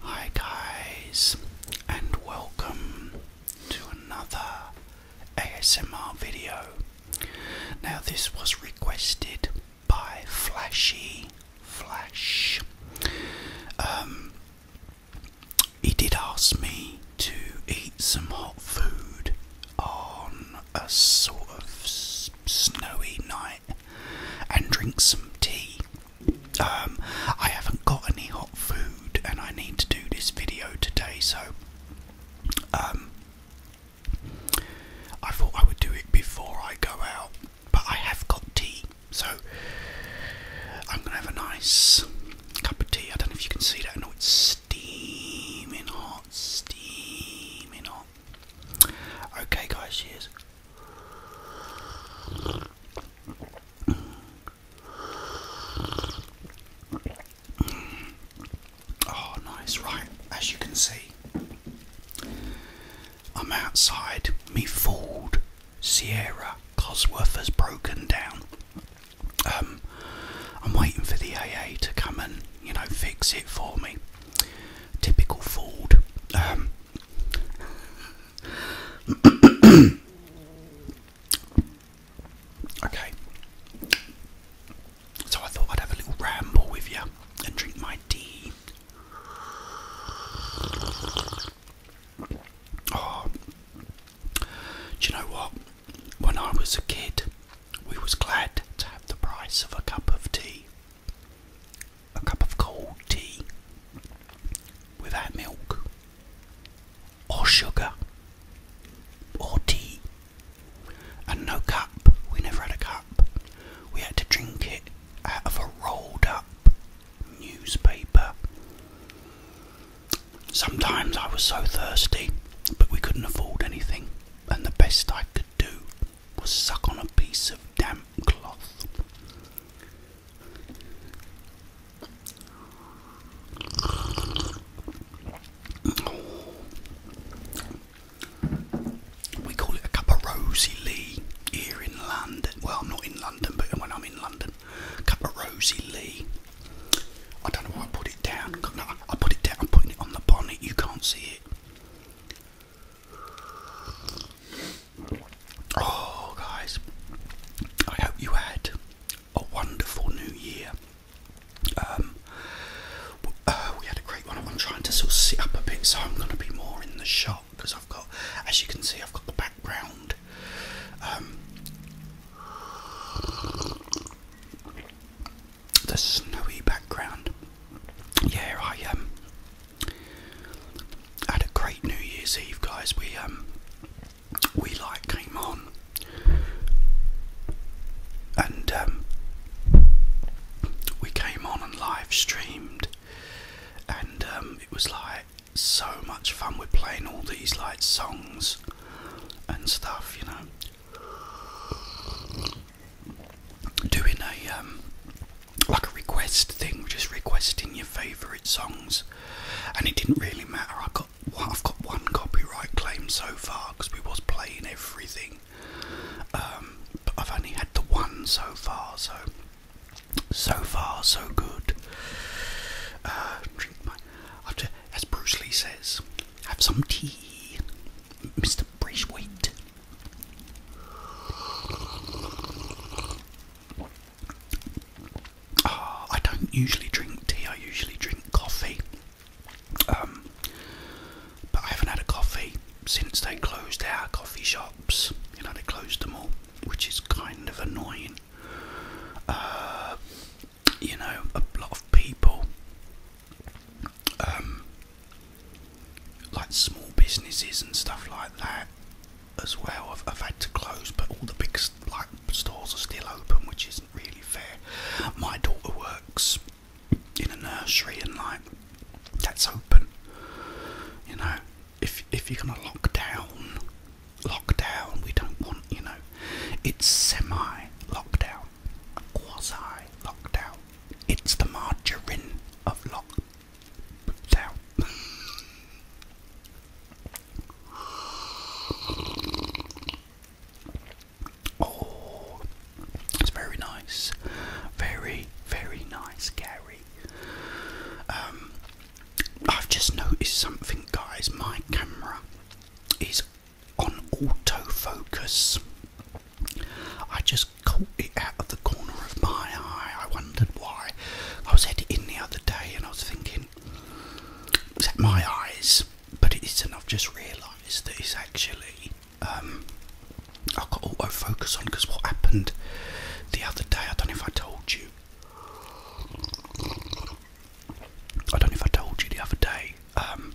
Hi guys, and welcome to another ASMR video. Now, this was requested by Flashy Flash. Um, he did ask me to eat some hot food on a sort of snowy night and drink some tea um, I haven't got any hot food and I need to do this video today, so um, I thought I would do it before I go out, but I have got tea, so I'm gonna have a nice cup of tea. I don't know if you can see that, I it's steaming hot, steaming hot. Okay, guys, cheers. Oh, nice. Right, as you can see, I'm outside. Me Ford Sierra Cosworth has broken down. Um, I'm waiting for the AA to come and you know fix it for me. Typical Ford. Um, okay. So I thought I'd have a little ramble with you and drink my tea. Oh, do you know what? When I was a kid, we was glad to have the price of a cup of tea a cup of cold tea without milk or sugar or tea and no cup. We never had a cup. We had to drink it out of a rolled up newspaper. Sometimes I was so thirsty, but we couldn't afford anything, and the best I could do was suck on a piece of damp um, We call it a cup of rosy lee here in London. Well, not in London, but when I'm in London, cup of rosy lee. I don't know why I put it down. I put it down. I'm putting it on the bonnet. You can't see it. Oh, guys, I hope you had a wonderful new year. Um, uh, we had a great one. I'm trying to sort of sit up a bit, so I'm going to be more in the shot because I've got, as you can see, I've got the background. Um, the snowy background. Yeah, I um, I had a great New Year's Eve, guys. We um, we light came on, and um, we came on and live streamed, and um, it was like so much fun. We're playing all these like songs and stuff, you know doing a um, like a request thing, just requesting your favourite songs, and it didn't really matter. I got I've got one copyright claim so far because we was playing everything, um, but I've only had the one so far. So so far so good. Uh, as Bruce Lee says, have some tea, Mr. Braithwaite. Ah, I don't usually drink tea, I usually drink coffee. Um, but I haven't had a coffee since they closed our coffee shops. You know, they closed them all, which is kind of annoying. Uh, you know, a lot of people um, like small businesses and stuff like that as well i have had to close, but all the big like stores are still open, which isn't really fair. My daughter works in a nursery, and like that's open. You know, if if you're gonna lock down, lock down. We don't want you know, it's semi lockdown, quasi lockdown. It's the margarine of lockdown. Oh, it's very nice, very very nice, Gary. Um, I've just noticed something, guys. My camera is on autofocus. I just caught it out of the corner of my eye. I wondered why. I was headed in the other day and I was thinking, is that my eyes? But it isn't. I've just realised that it's actually. Um, I got auto focus on because what happened the other day, I don't know if I told you. I don't know if I told you the other day. Um,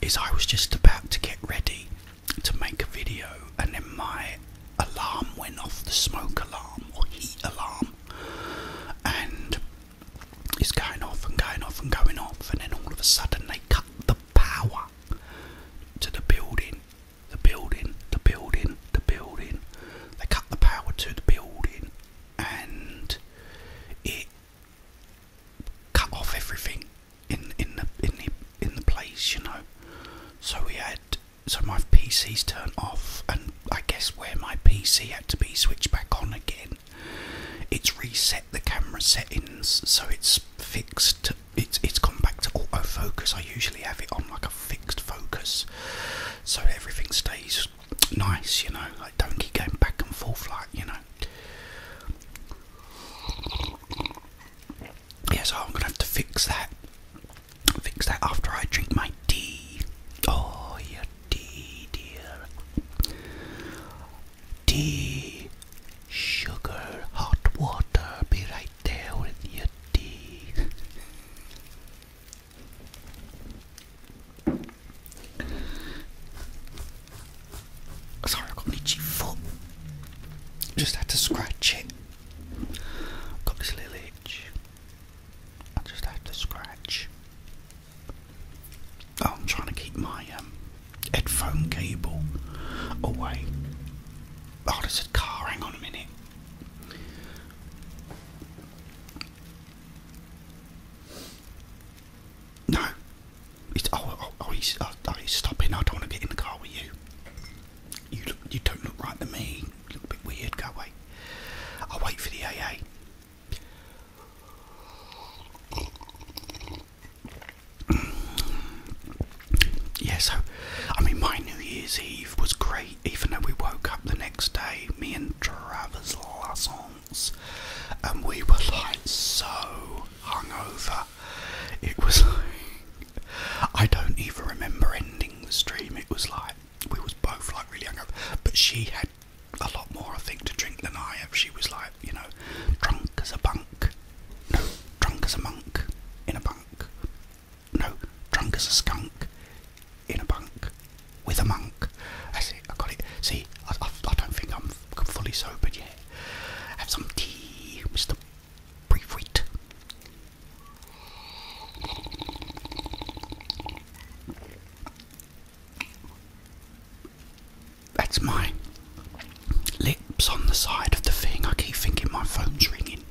is I was just about to get ready to make a video and then my alarm went off, the smoke alarm or heat alarm, and it's going off and going off and going off, and then all of a sudden they cut the power to the building, the building, the building, the building. They cut the power to the building and it cut off everything in in the in the in the place, you know. So we had so my PC's turned off, and I guess where my PC had to be switched back on again. It's reset the camera settings, so it's fixed. It's it's gone back to auto focus. I usually have it on like a fixed focus, so everything stays nice. You know, Like don't keep going back and forth like you know. Yeah, so I'm gonna have to fix that. Fix that after I drink my tea. Oh, your tea, dear. Tea, sugar, hot water. Be right there with your tea. Sorry, i got an itchy foot. Just had to scratch it. Got this little itch. I just had to scratch. Oh, I'm trying to keep my um, headphone cable away. Oh, there's a car. Hang on a minute. No, oh, oh oh, oh, oh, he's, stopping. I don't want to get in the car with you. You you don't look right to me. You look a bit weird. Go away. I'll wait for the AA. Yeah, so I mean, my New Year's Eve was great, even though we woke up the next day, me and Travis Lassons, and we were like so hungover. It was like I don't even remember ending the stream. It was like we was both like really hungover, but she had a lot more I think to drink than I have. She was like you know drunk as a bunk, no drunk as a monk in a bunk, no drunk as a skunk in a bunk with a monk. That's it. I got it. See, I don't think I'm fully sobered yet. Have some tea, Mr. Briefwit. That's my lips on the side of the thing. I keep thinking my phone's ringing.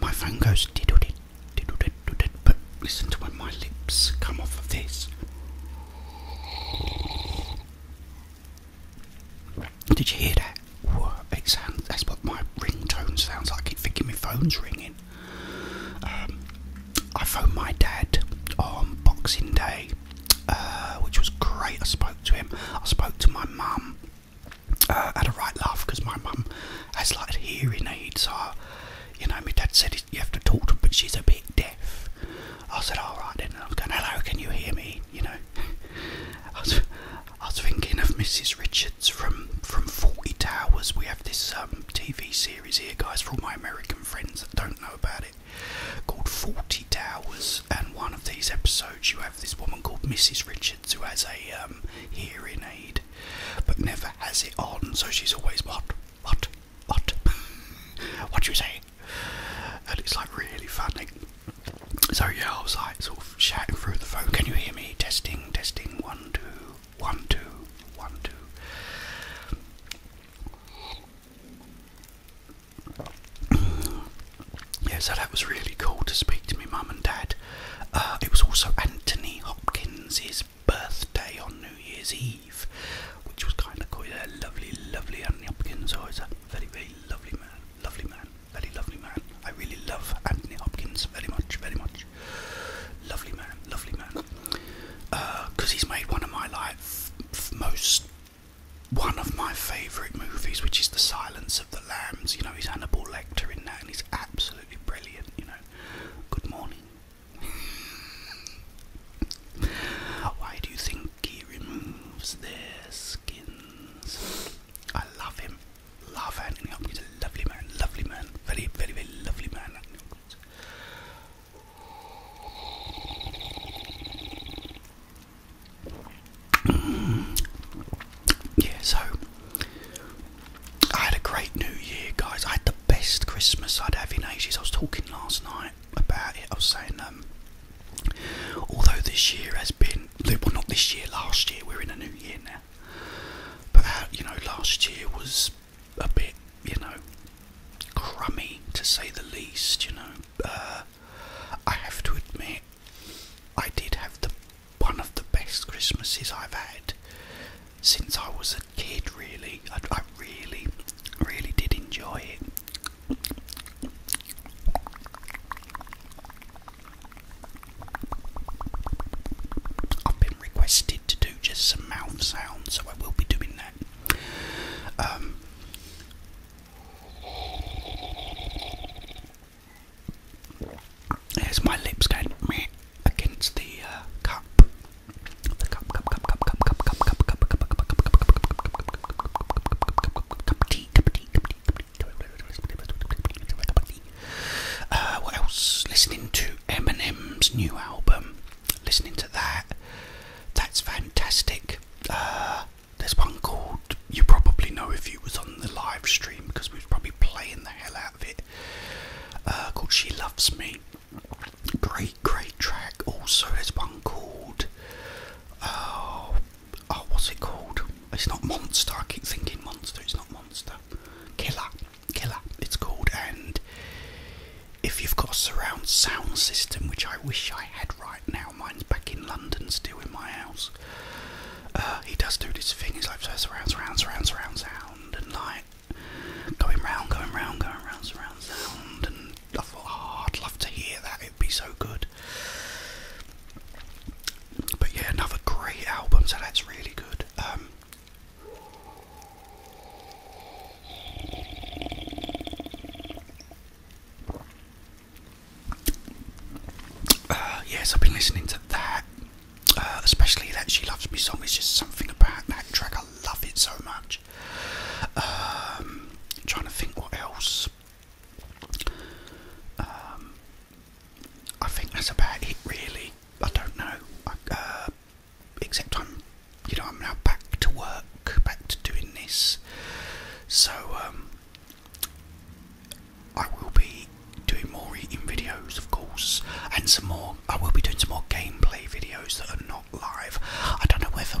My phone goes diddle did, diddle did, diddle did, but listen to when my lips come off of this. Did you hear that? that's what my ringtone sounds like. keep thinking my phone's ringing. Um, I phoned my dad on Boxing Day, uh, which was great. I spoke to him. I spoke to my mum. I uh, had a right laugh because my mum has like hearing aids. so you know, my dad said you have to talk to her, but she's a bit deaf. I said, all right then. I was going, hello, can you hear me? You know, I, was, thinking of Mrs. Richards from from Forty Towers. We have this um, TV series here, guys, for all my American friends that don't know about it, called Forty Towers. And one of these episodes, you have this woman called Mrs. Richards who has a um, hearing aid, but never has it on, so she's always what, what, what, what you say? and it's like really funny. So yeah, I was like sort of shouting through the phone, can you hear me? Testing, testing, one, two, one, two, one, two. Yeah, so that was really cool to speak to my mum and dad. Uh, it was also Anthony Hopkins's birthday on New Year's Eve which was kind of quite a lovely, lovely Anthony Hopkins. So oh, it's a very, very lovely man, lovely man, very lovely man. I really love Anthony Hopkins very much, very much. Lovely man, lovely man. Because uh, he's made one of my life most, one of my favourite movies, which is The Silence of the Lambs. You know, he's Hannibal Lecter in that, and he's absolutely brilliant. You know, good morning. Why do you think Pinky removes their skins. I love him. Love Anthony Hopkins. Lovely man. Lovely man. Very, very, very lovely man. Mm. Yeah, so I had a great New Year, guys. I had the best Christmas I'd have in ages. I was talking last night about it. I was saying, um, although this year has been, well, not this year, last year, we're in a new year now. But, uh, you know, last year was a bit, you know, crummy to say the least, you know. Uh, I have to admit, I did have the one of the best Christmases I've had since I was a kid, really. I, I really, really did enjoy it. I've been requested to do just some mouth sounds, so I will be doing that. there's um, my lips going against the uh, cup. The cup, cup, cup, cup, cup, cup, what else? Listening to Eminem's new album. Listening to that. That's fantastic. there's one called. You probably know if you was on the live stream because we was probably playing the hell out of it. called She Loves Me. Great, great track. Also, there's one called. Uh, oh, what's it called? It's not Monster. I keep thinking Monster. It's not Monster. Killer. Killer, it's called. And if you've got a surround sound system, which I wish I had right now, mine's back in London still in my house. Uh, he does do this thing, he's like surround, surround, surround, surround sound, and like going round, going round, going round, surround sound, and I thought, would love to hear that. It'd be so good. But yeah, another great album. So that's really good. Um, uh, yes, I've been listening to that, uh, especially that She Loves Me song. It's just something about that track. I love it so much. Um, trying to think what else. Um, I think that's about it, really. I don't know. Uh, except I'm, you know, I'm now back to work, back to doing this. So um, I will be doing more eating videos, of course, and some more. I will be doing some more gameplay videos that are not live. I don't know whether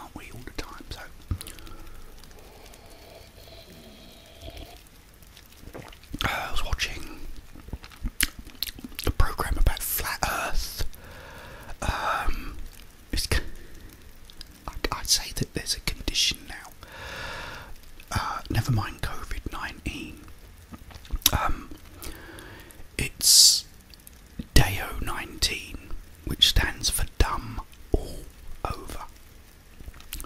we, all the time? So uh, I was watching a program about flat Earth. Um, I'd, say that there's a condition now. Uh, never mind COVID nineteen. Um, it's DAO 19, which stands for dumb all over,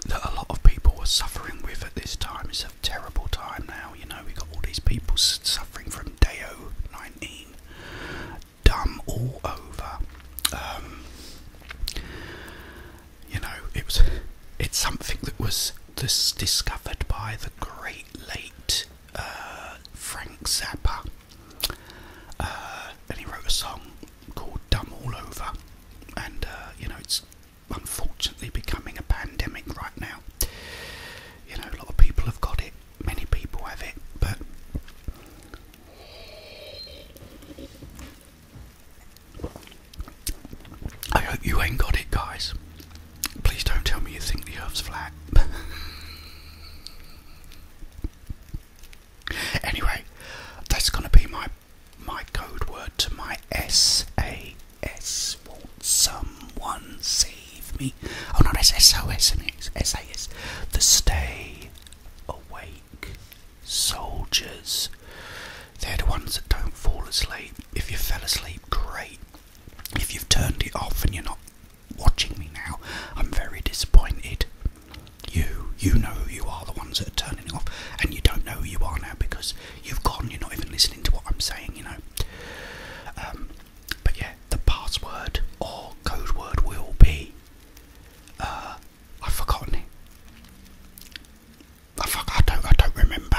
that a lot of people were suffering with at this time. It's a terrible time now, you know, we've got all these people suffering from DAO 19, dumb all over. Um, you know, it was, it's something that was this discovered by the great late uh, Frank Zappa uh, and he wrote a song called Dumb All Over, and uh, you know, it's unfortunately becoming a pandemic right now. You know, a lot of people have got it, many people have it, but I hope you ain't got it, guys. Please don't tell me you think the Earth's flat. anyway, that's gonna be my my code word to my S A S. Won't someone save me? Oh no, that's S O S and S A S. The stay awake soldiers. They're the ones that don't fall asleep. If you fell asleep, great. If you've turned it off and you're not watching me now, I'm very disappointed. You, you know you are, the ones that are turning off, and you don't know who you are now because you've gone, you're not even listening to what I'm saying, you know. Um, but yeah, the password or code word will be. Uh, I've forgotten it. I, don't. I don't remember.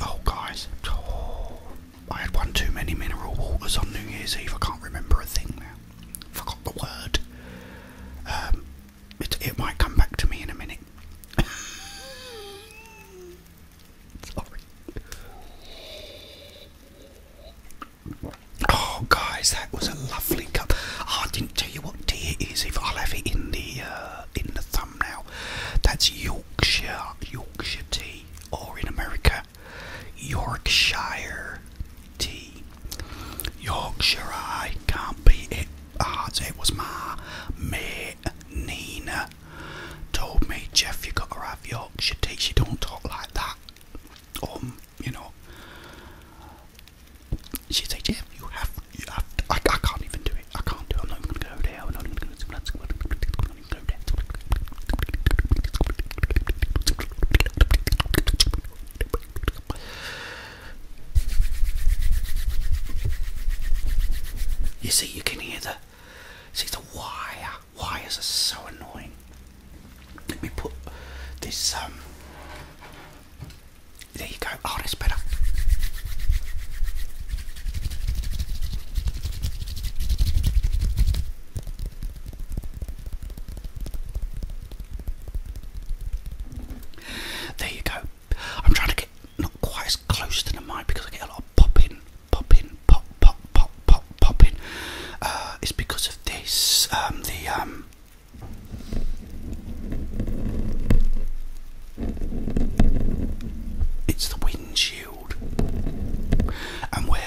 oh, guys. Oh. I had one too many mineral waters on New Year's Eve. I can't remember a thing now. Forgot the word. Um, it, it might come back to me in a minute. Sorry. Oh, guys, that was a lovely cup. Ah, I didn't tell you what tea it is. If I'll have it in the uh, in the thumbnail, that's Yorkshire Yorkshire tea tea, or in America, Yorkshire tea. Yorkshire, I can't beat it. Ah, it was my mate Nina told me, Jeff, you gotta have Yorkshire tea. She don't talk like that. Um, you know. She said, Jeff, you have, you have to, I, I can't even do it. I can't do it. I'm not even gonna go there. I'm not even gonna. You see, you can hear the. See the wire. Wires are so annoying. Let me put this. Um. There you go. Oh, that's better. There you go. I'm trying to get not quite as close to the mic because I get a lot of popping, popping, pop, pop, pop, pop, popping. Uh, it's because of this. Um, the um. It's the wind and where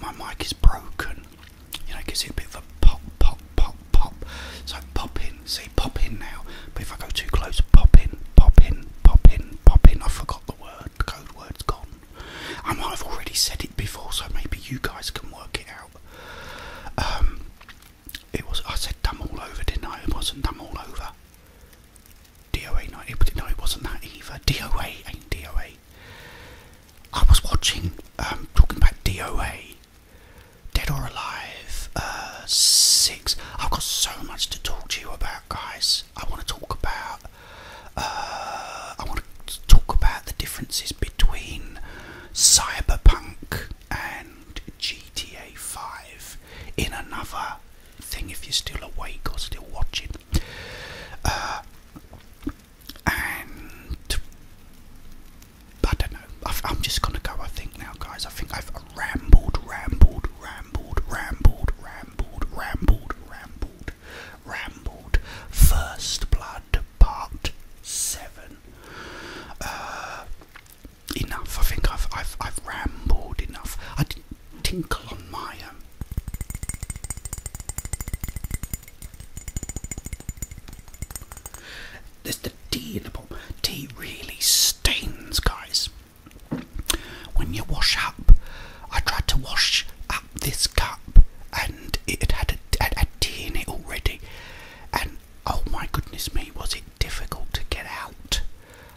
my mic is broken, you know, gives it a bit of a pop, pop, pop, pop. So pop in, see, pop in now. But if I go too close, pop in, pop in, pop in, pop in. I forgot the word. code word's gone. I might have already said it before, so maybe you guys can work it out. Um, it was. I said dumb all over, didn't I? It wasn't dumb all over. DOA 90, but know it wasn't that either. DOA ain't DOA. I was watching, um, talking about DOA, Dead or Alive, uh, 6. I've got so much to talk to you about, guys. I want to talk about, uh, I want to talk about the differences between Cyberpunk and GTA 5 in another thing if you're still awake or still watching. Uh, and I don't know. i am just gonna go. I think now, guys. I think I've rambled, rambled, rambled, rambled, rambled, rambled, rambled, rambled. First Blood Part Seven. Uh, enough. I think I've I've rambled enough tinkle on my um, This the tea in the Tea really stains, guys. When you wash up, I tried to wash up this cup, and it had had a tea in it already. And oh my goodness me, was it difficult to get out?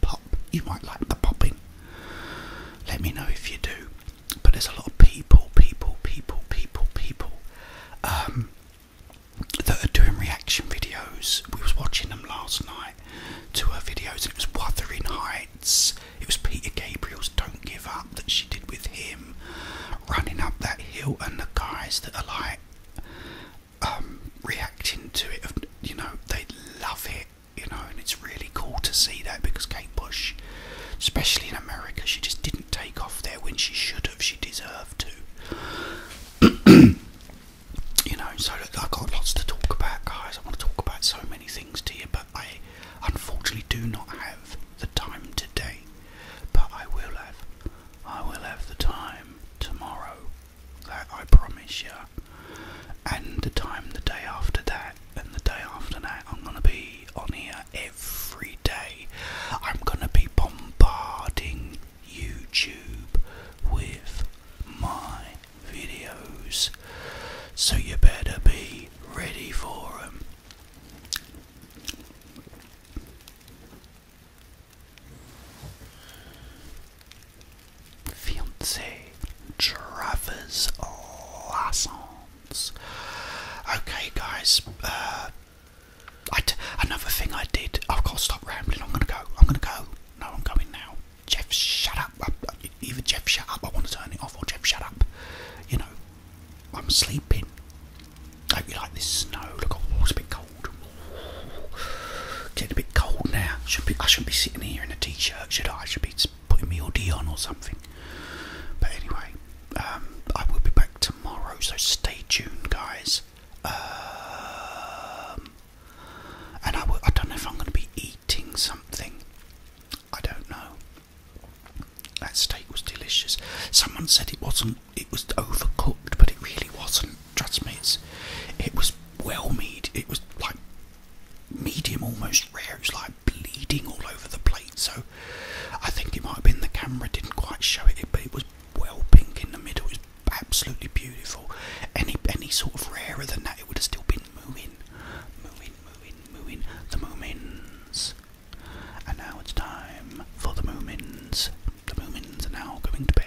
pop, You might like the popping. Let me know if you do. But there's a lot of people, people, people, people, people um, that are doing reaction videos. We was watching them last night to her videos, and it was Wuthering Heights. It was Peter Gabriel's "Don't Give Up" that she did with him, running up that hill, and the guys that are like um, reacting to it. You know, they love it. You know, and it's really cool to see that because Kate Bush, especially in America, she just didn't take off there when she should have. She deserved to. you know, so I've got lots to talk about, guys. I want to talk about so many things to you, but I unfortunately do not have the time today. But I will have, I will have the time tomorrow. I promise you. And the time the day after that, and the day after that, I'm gonna be on here every day. I'm gonna be bombarding YouTube with my videos. So you better be ready for them. Fiance Travers Lassons. Okay, guys. Uh, another thing I did. I've got to stop rambling. I'm gonna go. I'm gonna go. No, I'm going now. Jeff, shut up. I, either Jeff, shut up. I want to turn it off, or Jeff, shut up. You know, I'm sleeping. I hope like this snow. Look, oh, it's a bit cold. Getting a bit cold now. Should be. I shouldn't be sitting here in a t-shirt, should I? I should be putting me hoodie on or something. But anyway, um, I will be back tomorrow, so stay tuned, guys. Um, and I, I don't know if I'm going to be eating something. I don't know. That steak was delicious. Someone said it wasn't. It was overcooked, but it really wasn't trust me, it's, it was well made. It was like medium, almost rare. It was like bleeding all over the plate. So I think it might have been the camera didn't quite show it, but it was well pink in the middle. It was absolutely beautiful. Any any sort of rarer than that, it would have still been moving, moving, moving, moving The moomins. And now it's time for the moomins. The moomins are now going to bed.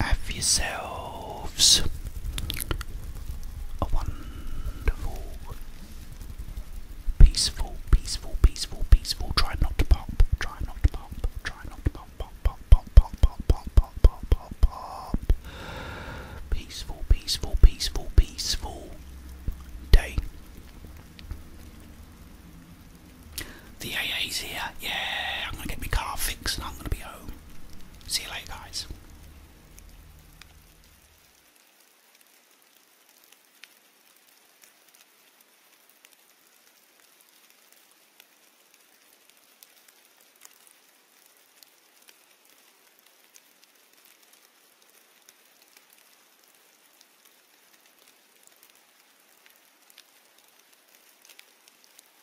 Have yourselves a wonderful, peaceful, peaceful, peaceful, peaceful. Try not to pop, try not to pop, try not to pop, pop, pop, pop, pop, pop, pop, pop, pop, pop, pop. Peaceful, peaceful, peaceful, peaceful day. The AA's here, yeah. I'm gonna get my car fixed and I'm gonna be home. See you later, guys.